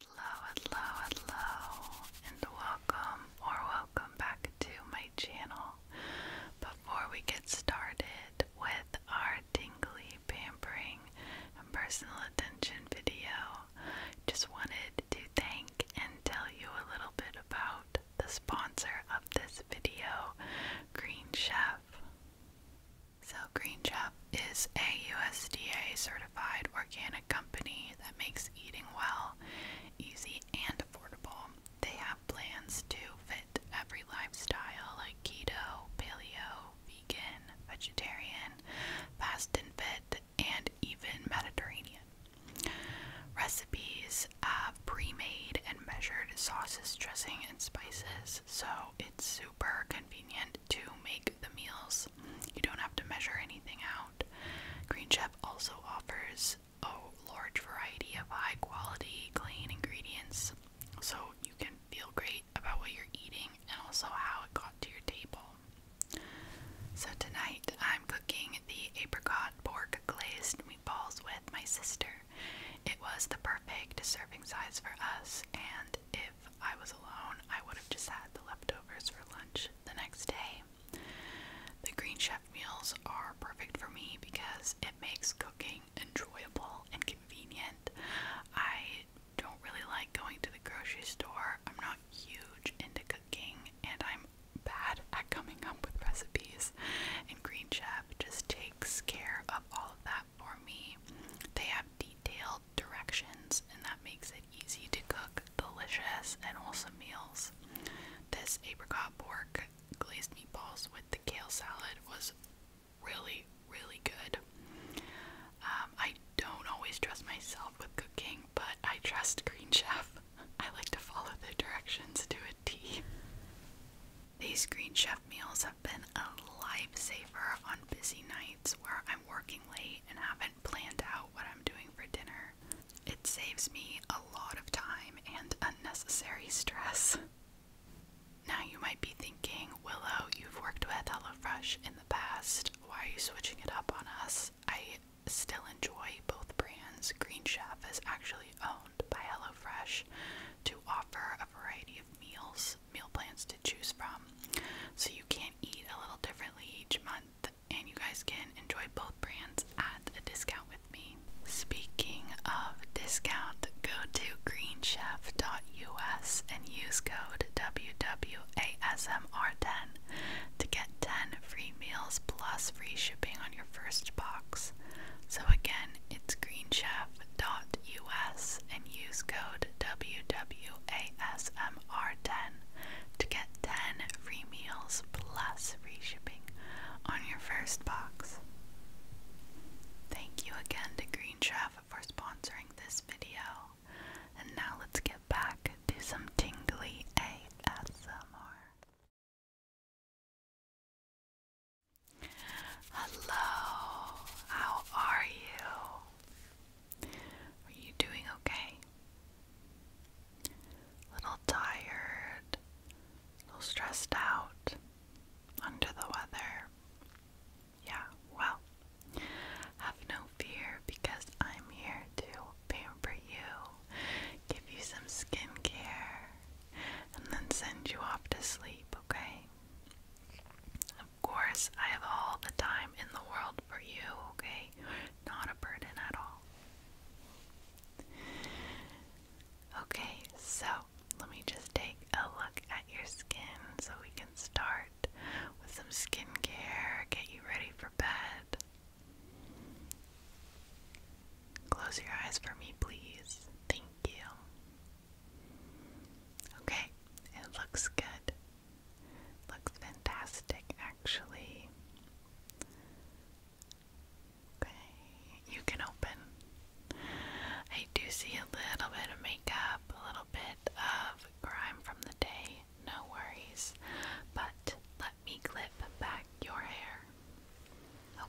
Hello, hello, hello, and welcome or welcome back to my channel. Before we get started with our dingley pampering and personal attention video, just wanted to thank and tell you a little bit about the sponsor of this video, Green Chef. So, Green Chef is a USDA certified organic company that makes eating well easy and affordable. They have plans to fit every lifestyle like keto, paleo, vegan, vegetarian, fast and fit, and even Mediterranean. Recipes is uh, pre-made and measured sauces, dressing, and spices, so it's super convenient to make the meals. You don't have to measure anything out. Green Chef also offers a large variety of high-quality, clean ingredients, so you can feel great about what you're eating and also how it got to your table. So, tonight I'm cooking the apricot pork glazed meatballs with my sister. It was the perfect serving size for us, and if I was alone, I would have just had the leftovers for lunch the next day. The Green Chef meals are perfect for me because it makes cooking enjoyable and convenient. I don't really like going to the grocery store. I'm not huge into cooking and I'm bad at coming up with recipes. And Green Chef just takes care of all of that for me. They have detailed directions, and that makes it easy to cook delicious and wholesome meals. This apricot pork glazed meatballs with the kale salad was really, really good. Um, I don't always trust myself with cooking, but I trust Green Chef. I like to follow the directions to a T. These Green Chef meals have been a lifesaver on busy nights where I'm working late and haven't planned out what I'm doing for dinner. It saves me a lot of time and unnecessary stress. Now you might be thinking, Willow, you've worked with HelloFresh in the past. Why are you switching it up on us? I still enjoy both brands. Green Chef is actually owned by HelloFresh to offer a variety of meals, meal plans to choose from. So you can eat a little differently each month, and you guys can enjoy both brands at a discount with me. Speaking of discount, go to greenchef.us and use code WWASMR10 to get 10 free meals plus free shipping on your first box. So again, it's greenchef.us and use code WWASMR10 to get 10 free meals plus free shipping on your first box. Thank you again to Green Chef for sponsoring this video. And now let's get back to some tingly ASMR. Hello, how are you? Are you doing okay? A little tired, a little stressed out, under the weather. Yeah, well, have no fear because I'm here to pamper you, give you some skincare, and then send you off to sleep, okay? Of course, I have all the time in the world for you, okay? Not a burden at all. Okay, so let me just take a look at your skin so we can start with some skincare, get you ready for bed. Close your eyes for me, please. Thank you. Okay, it looks good. Looks fantastic, actually. Okay, you can open. I do see a little bit of makeup, a little bit of grime from the day, no worries. But let me clip back your hair.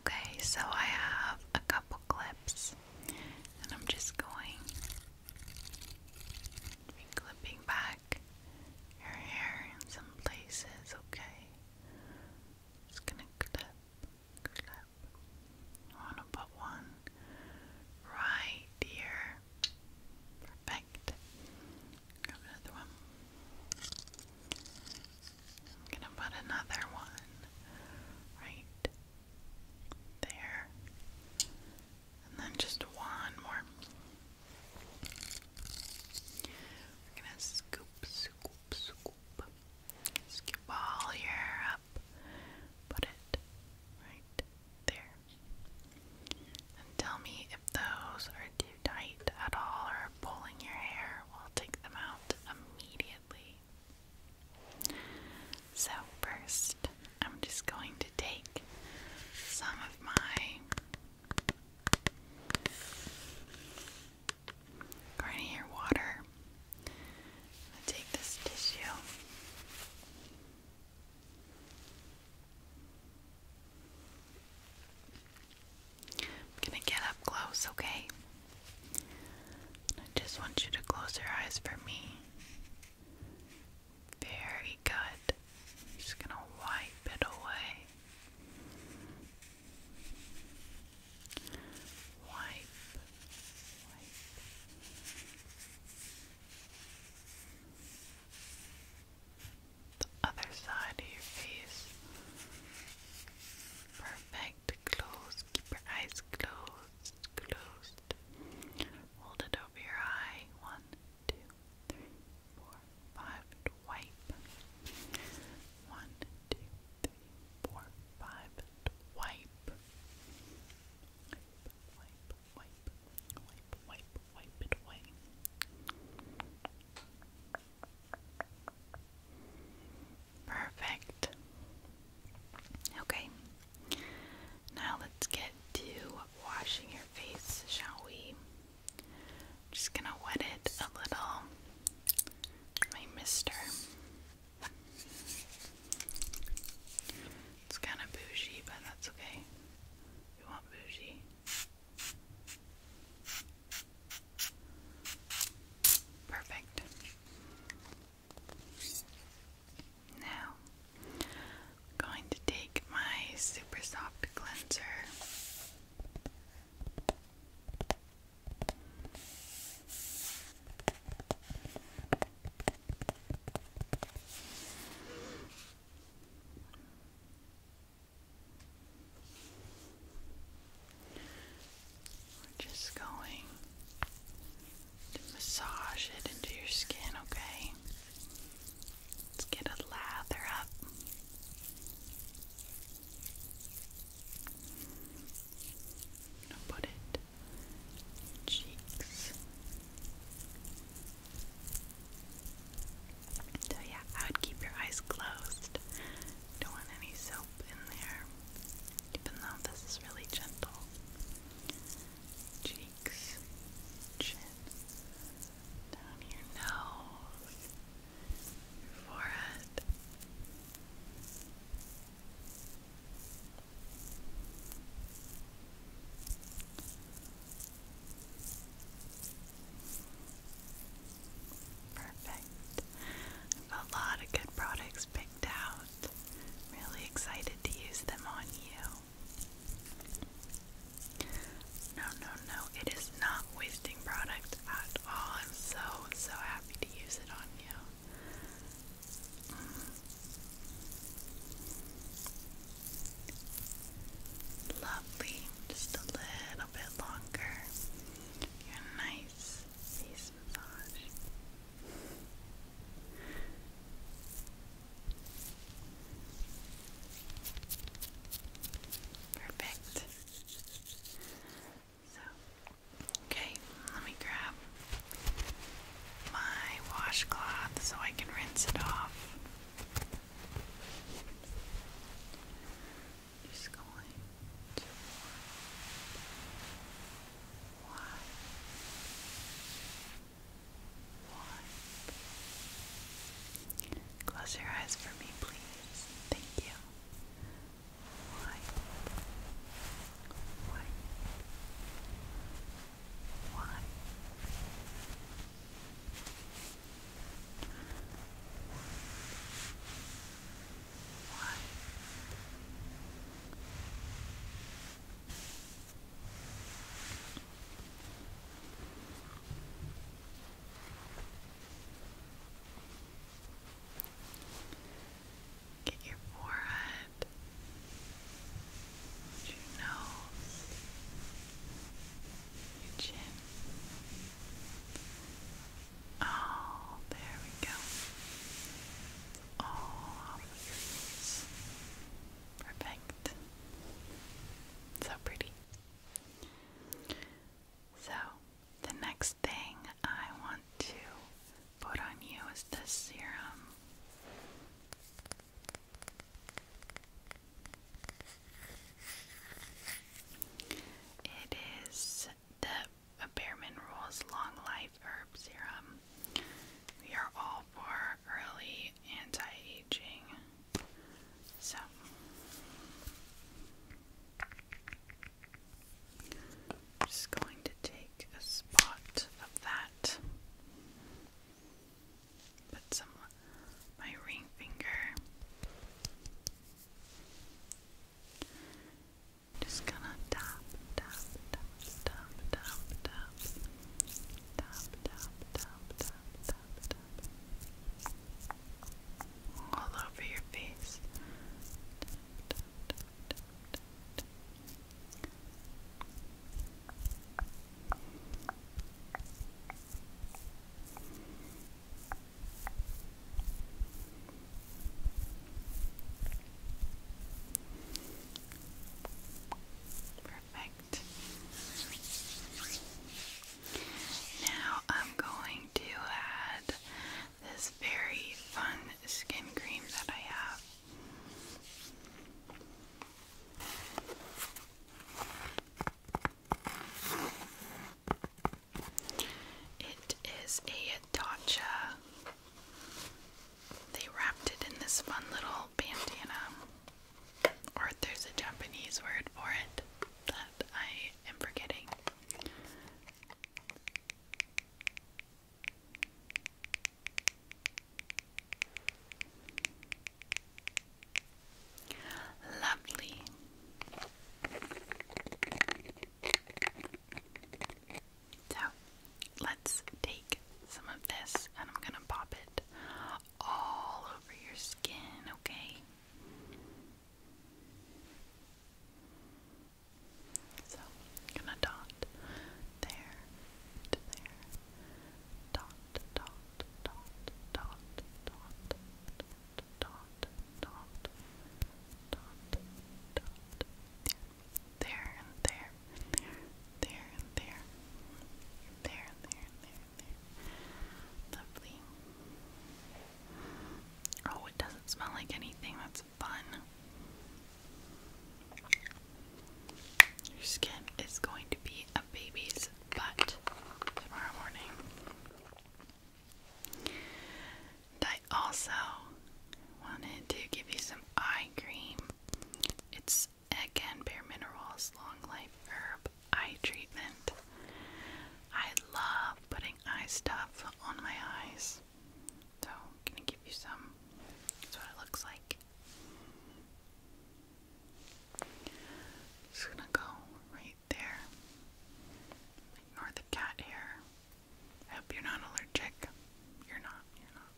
Okay, so I have a couple clips, and I'm just going clipping back your hair in some places, okay? Just gonna clip, clip. I wanna put one right here. Perfect. another one. I'm gonna put another one right there, and then just one more. We're gonna scoop, scoop, scoop, scoop all your up, put it right there, and tell me if those are too tight at all or pulling your hair. We'll take them out immediately. So, first, I'm just going to take some of my Garnier water. i take this tissue. I'm gonna get up close, okay? I just want you to close your eyes for me. Very good. just gonna wipe it away. Wipe. Wipe. The other side of your face. Perfect to close. Keep your eyes closed, closed. Hold it over your eye. One, two, three, four, five. wipe. One, two, three, four, five. wipe. Wipe, wipe, wipe, wipe, wipe, it away. Perfect. Okay. Now let's get to washing your face, shall we? just gonna wet it a little. My mister. It's kind of bougie, but that's okay. You want bougie? Perfect. Now, going to take my super soft cleanser. We're just going to massage it into your skin, okay? Let's get a lather up. put it cheeks. So yeah, I would keep your eyes closed don't want any soap in there, even though this is really gentle. Cheeks, chin, down your nose, your forehead. Perfect. i a lot of good products picked out. Really excited to use them on you. No, no, no, it is not wasting product at all. I'm so, so happy to use it on you. Mm. Lovely. Just a little bit longer. You're nice face massage. Perfect. So, okay, let me grab my washcloth so I can rinse it off is going to wipe, wipe, Close your eyes for me, please. Thank you. Wipe, one. Get your forehead, your nose, your chin, Oh, there we go. All Perfect. So pretty. So, the next thing I want to put on you is this serum. It is the Bearman Rules Long Life Herb Serum. We are all for early anti-aging. So just going to take a spot of that. Put some my ring finger just gonna tap, tap, tap, tap, tap, tap, tap, tap, tap, tap, tap, tap, all over your face. tap, tap, tap, tap, tap. Perfect. Now I'm going to add this very fun skin cream that I have. It is a Tatcha. They wrapped it in this fun little bandana. Or there's a Japanese word for it that I am forgetting. Lovely. So let's take some of this and I'm gonna pop it all over your skin, okay? So gonna dot there there. dot, dot, dot, dot, dot, dot, dot, dot, dot, dot. There and there, there and there, there and there, there. Lovely. Oh, it doesn't smell like anything. That's fun. Your skin is going to be a baby's butt tomorrow morning. I also wanted to give you some eye cream. It's again Bare Minerals Long Life Herb Eye Treatment. I love putting eye stuff on my eyes. So I'm gonna give you some. That's what it looks like. Just gonna go right there. Ignore cat hair. I hope you're not allergic. You're not, you're not.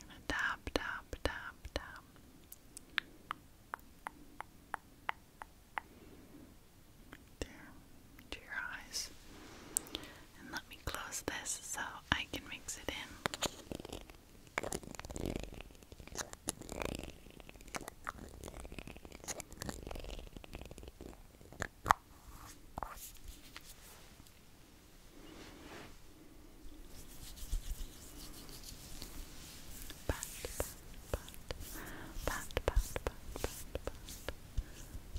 gonna tap, tap, tap, tap. There, to your eyes. And let me close this so I can mix it in.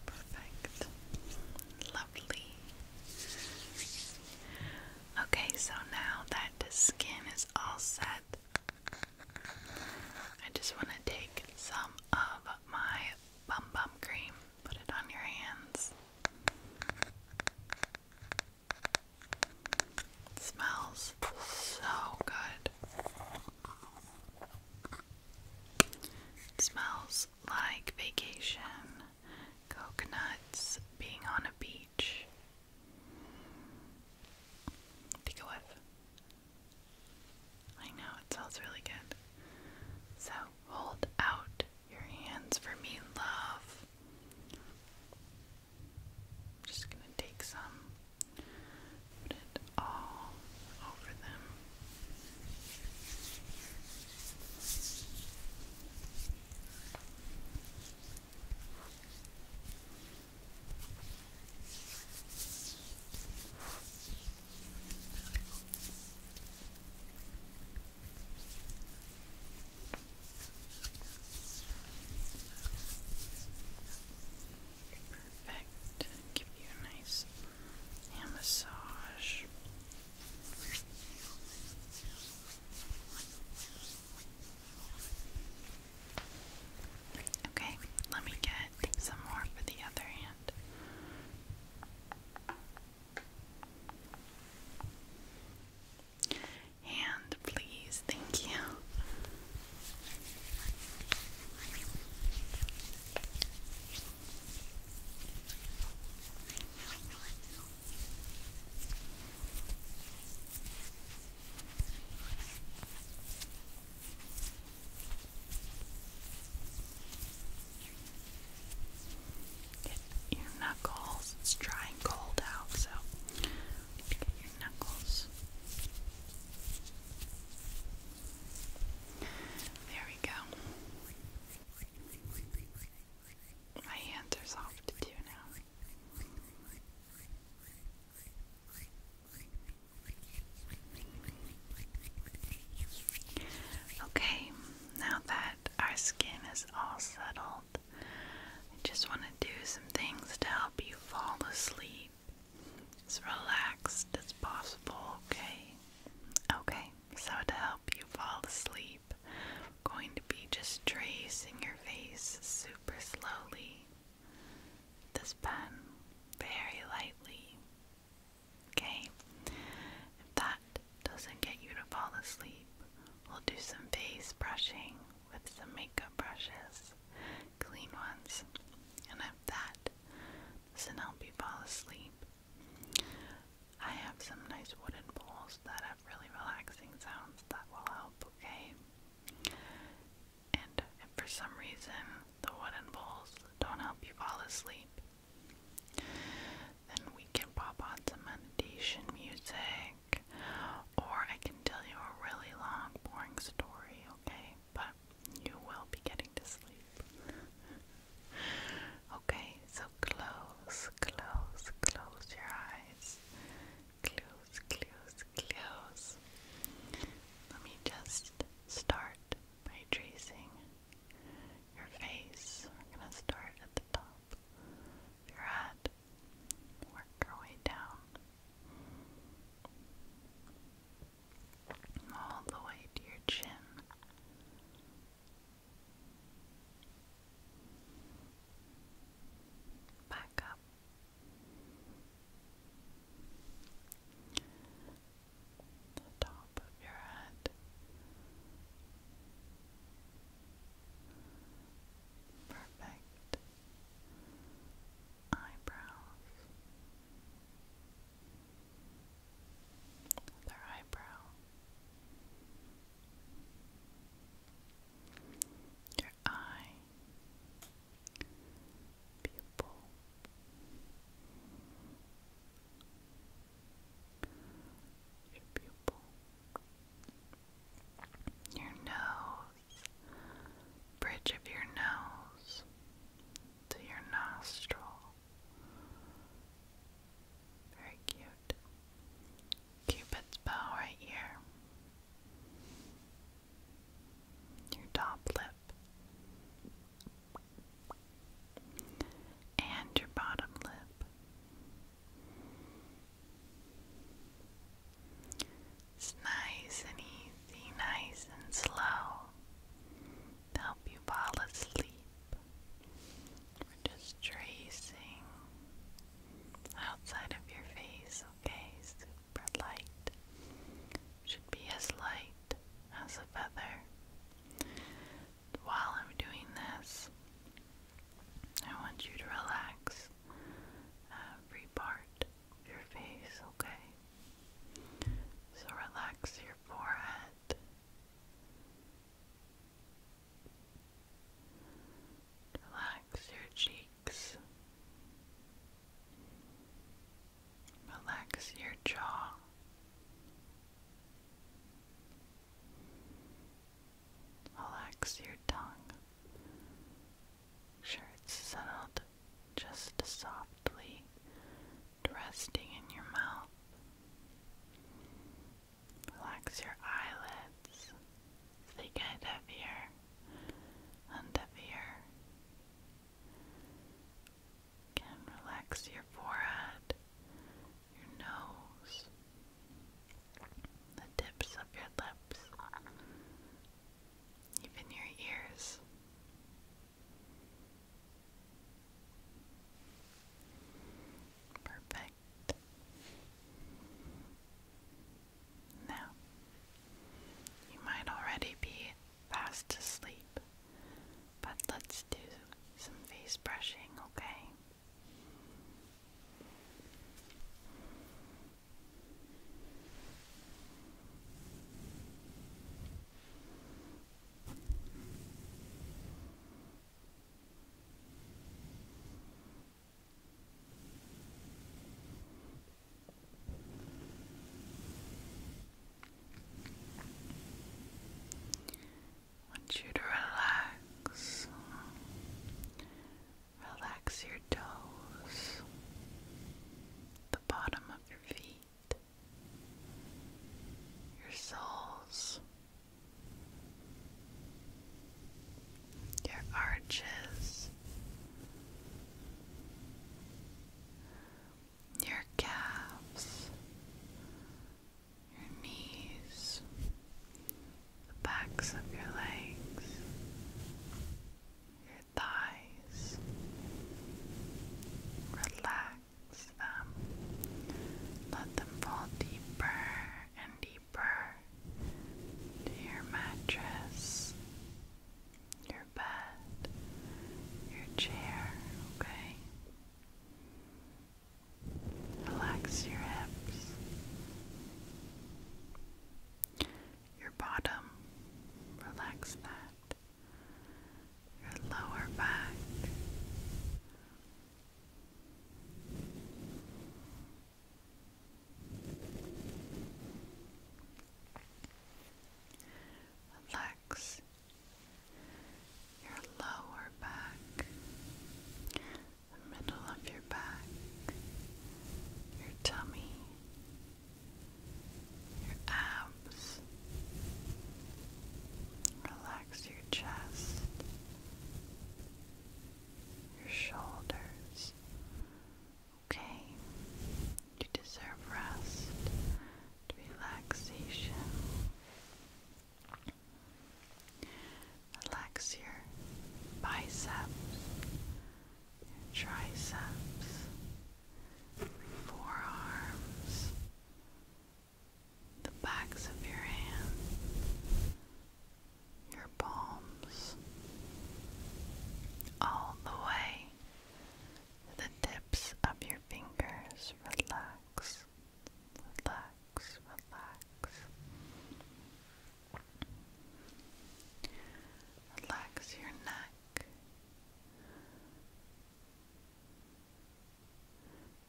Perfect. Lovely. Okay, so now that the skin is all set, I just want to take some of my bum bum cream, put it on your hands. smells so good. smells like vacation, coconuts, being on a beach. Take a whiff. I know, it smells really good. So hold out your hands for me, love. just gonna take some, put it all over them. Perfect. Give you a nice hand massage. Okay, let me get some more for the other hand. Hand, please, thank you. Get your knuckles. It's dry and cold out, so get your knuckles. There we go. My hands are soft too now. Okay, now that our skin is all settled, I just want to do some things to help you fall asleep as relaxed as possible, okay? Okay, so to help you fall asleep, I'm going to be just tracing your face super slowly this pen very lightly. Okay? If that doesn't get you to fall asleep, we'll do some face brushing with some makeup brushes, clean ones. And if that doesn't help you fall asleep, I have some nice wooden bowls that have really relaxing sounds that will help, okay? and if for some reason the wooden bowls don't help you fall asleep, then we can pop on some meditation music, or I can tell you a really long, boring story, okay? But you will be getting to sleep. okay, so close, close, close your eyes. Close, close, eyes close. Let me just start by tracing your face. We're going to start at the top your head, work our way down, all the way to your chin. Back up the top of your head. Perfect eyebrows. Their eyebrow. eye pupil your pupil your nose bridge of your nose to your nostril very cute cupid's bow right here your top lip and your bottom lip. It's nice and easy, nice and slow to help you fall asleep. We're just tracing outside of your face, okay? light should be as light as a feather. While I'm doing this, I want you to relax every part of your face, okay? So relax your forehead. Relax your cheeks. Relax your jaw. Relax your tongue. Sure, it's settled just softly resting in your mouth. Relax your eyelids. They get heavier heavier Again, relax your forehead, your nose, the tips of your lips, even your ears. Perfect. Now, you might already be fast asleep. But let's do some face brushing, okay? want you to relax. Relax your toes, the bottom of your feet, your soles, your arches your calves, your knees, the backs of your legs, your thighs. Relax them. Let them fall deeper and deeper to your mattress, your your bed, your chair, okay? Relax your hips, your bottom, relax that, your lower back. Relax your lower back, the middle of your back, your tummy, your abs. Relax your chest, your shoulders okay. You deserve rest, relaxation. Relax your biceps, triceps, your forearms, the backs of your hands, your palms, all the way the tips of your fingers relax, relax, relax. Relax your neck,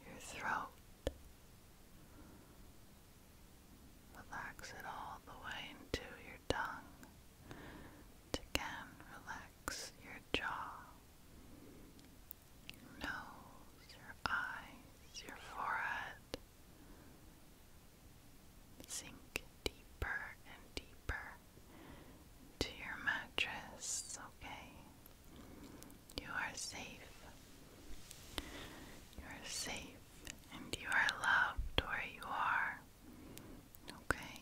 your throat. Relax it all the way into your tongue to again relax your jaw, your nose, your eyes, your forehead. Sink deeper and deeper into your mattress, okay? You are safe. You are safe and you are loved where you are. Okay?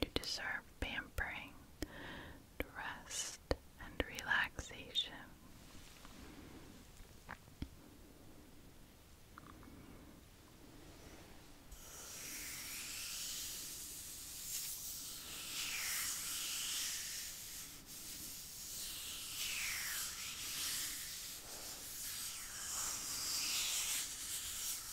You deserve pampering, rest, and relaxation.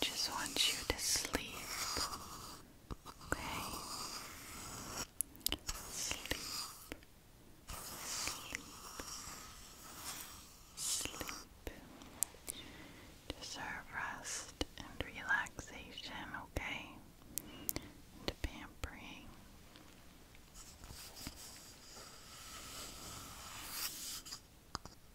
Just want you to sleep. Okay? Sleep. Sleep. Sleep. Deserve rest and relaxation, okay? And pampering.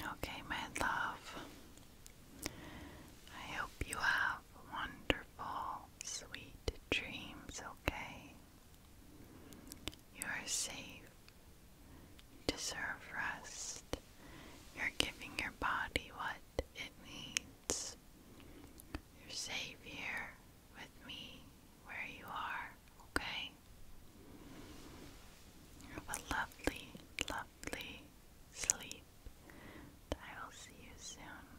Okay, my love. I hope you have wonderful, sweet dreams, okay? You are safe. You deserve rest. You're giving your body what it needs presence, you're safe here with me where you are, okay? Have a lovely, lovely sleep. I will see you soon.